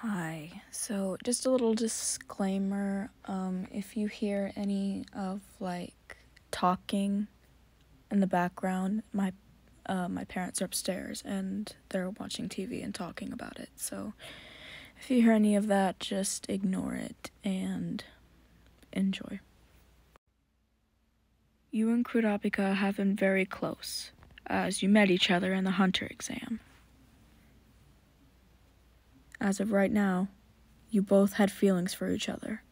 Hi, so just a little disclaimer um, if you hear any of like talking in the background, my uh, my parents are upstairs and they're watching TV and talking about it. So if you hear any of that, just ignore it and enjoy. You and Kudapika have been very close as you met each other in the Hunter exam. As of right now, you both had feelings for each other.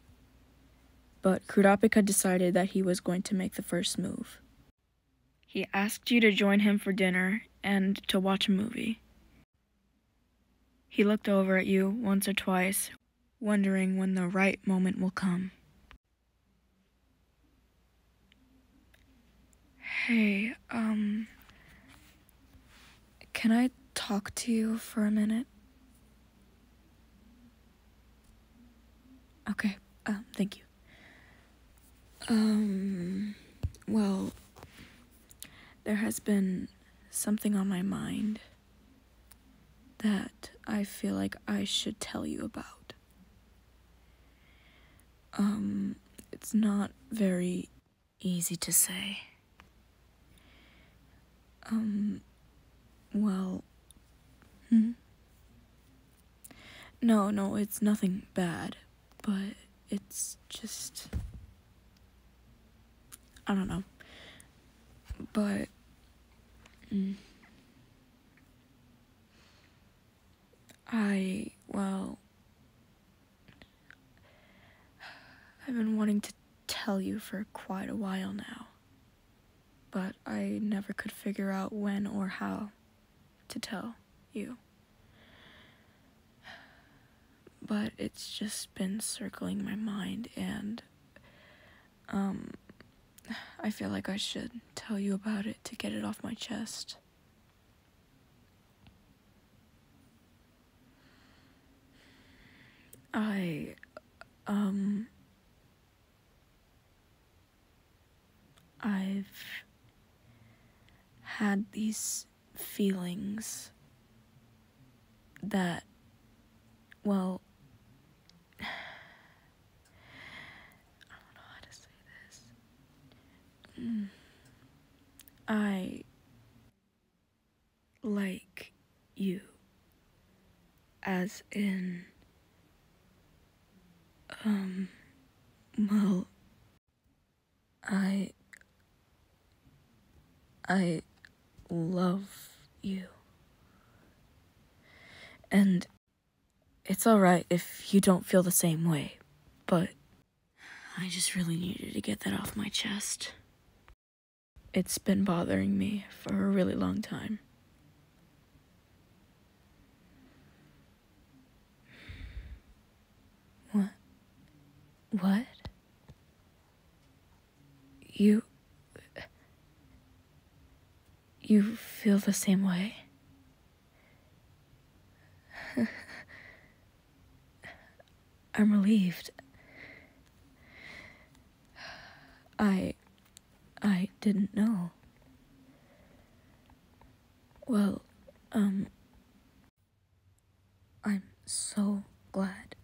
But Kurapika decided that he was going to make the first move. He asked you to join him for dinner and to watch a movie. He looked over at you once or twice, wondering when the right moment will come. Hey, um, can I talk to you for a minute? Okay, um, thank you. Um, well, there has been something on my mind that I feel like I should tell you about. Um, it's not very easy to say. Um, well, hmm? No, no, it's nothing bad, but it's just. I don't know. But. Hmm. I, well, I've been wanting to tell you for quite a while now, but I never could figure out when or how to tell you. But it's just been circling my mind, and, um, I feel like I should tell you about it to get it off my chest. I, um, I've had these feelings that, well, I don't know how to say this. I like you. As in, um, well, I, I love you. And it's alright if you don't feel the same way, but I just really needed to get that off my chest. It's been bothering me for a really long time. What? What? You. You feel the same way? I'm relieved. I. I didn't know. Well, um. I'm so glad.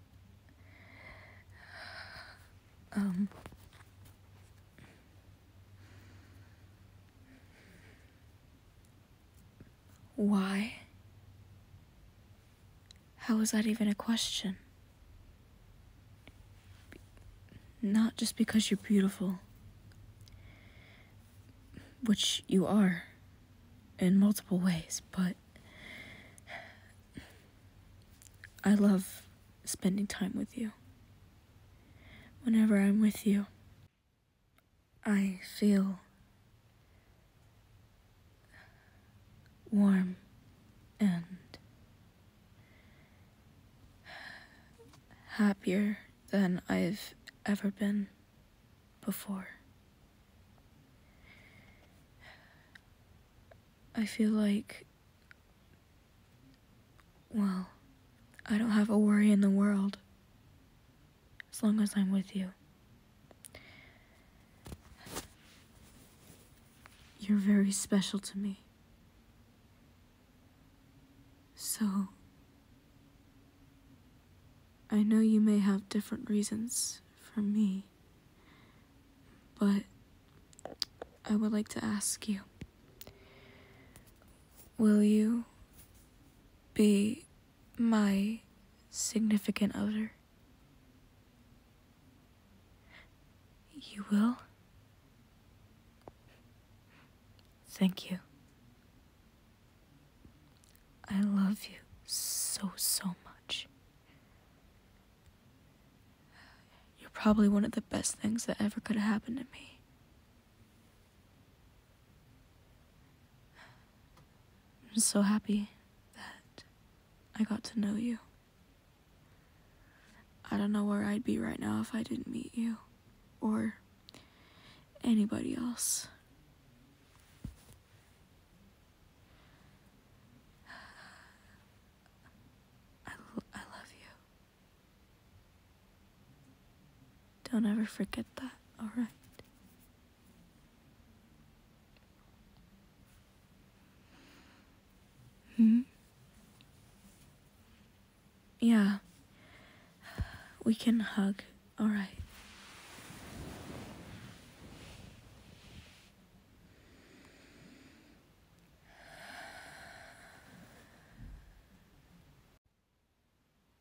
Um. Why? How is that even a question? Not just because you're beautiful, which you are in multiple ways, but I love spending time with you. Whenever I'm with you, I feel warm and happier than I've ever been before. I feel like well, I don't have a worry in the world as long as I'm with you. You're very special to me. So, I know you may have different reasons for me, but. I would like to ask you Will you be my significant other? You will? Thank you. I love you so, so much. You're probably one of the best things that ever could have happened to me. I'm so happy that I got to know you. I don't know where I'd be right now if I didn't meet you or anybody else. I, I love you. Don't ever forget that, alright? Hmm? Yeah. We can hug, alright?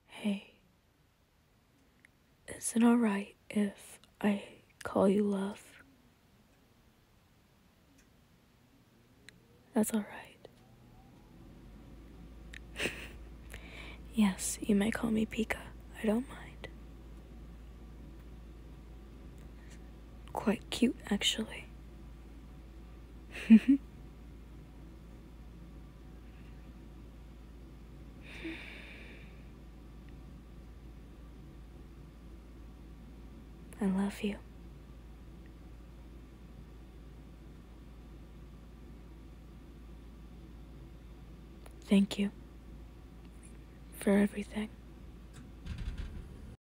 Hey, is it alright if I call you love? That's alright. yes, you may call me Pika. I don't mind quite cute actually. I love you. Thank you for everything.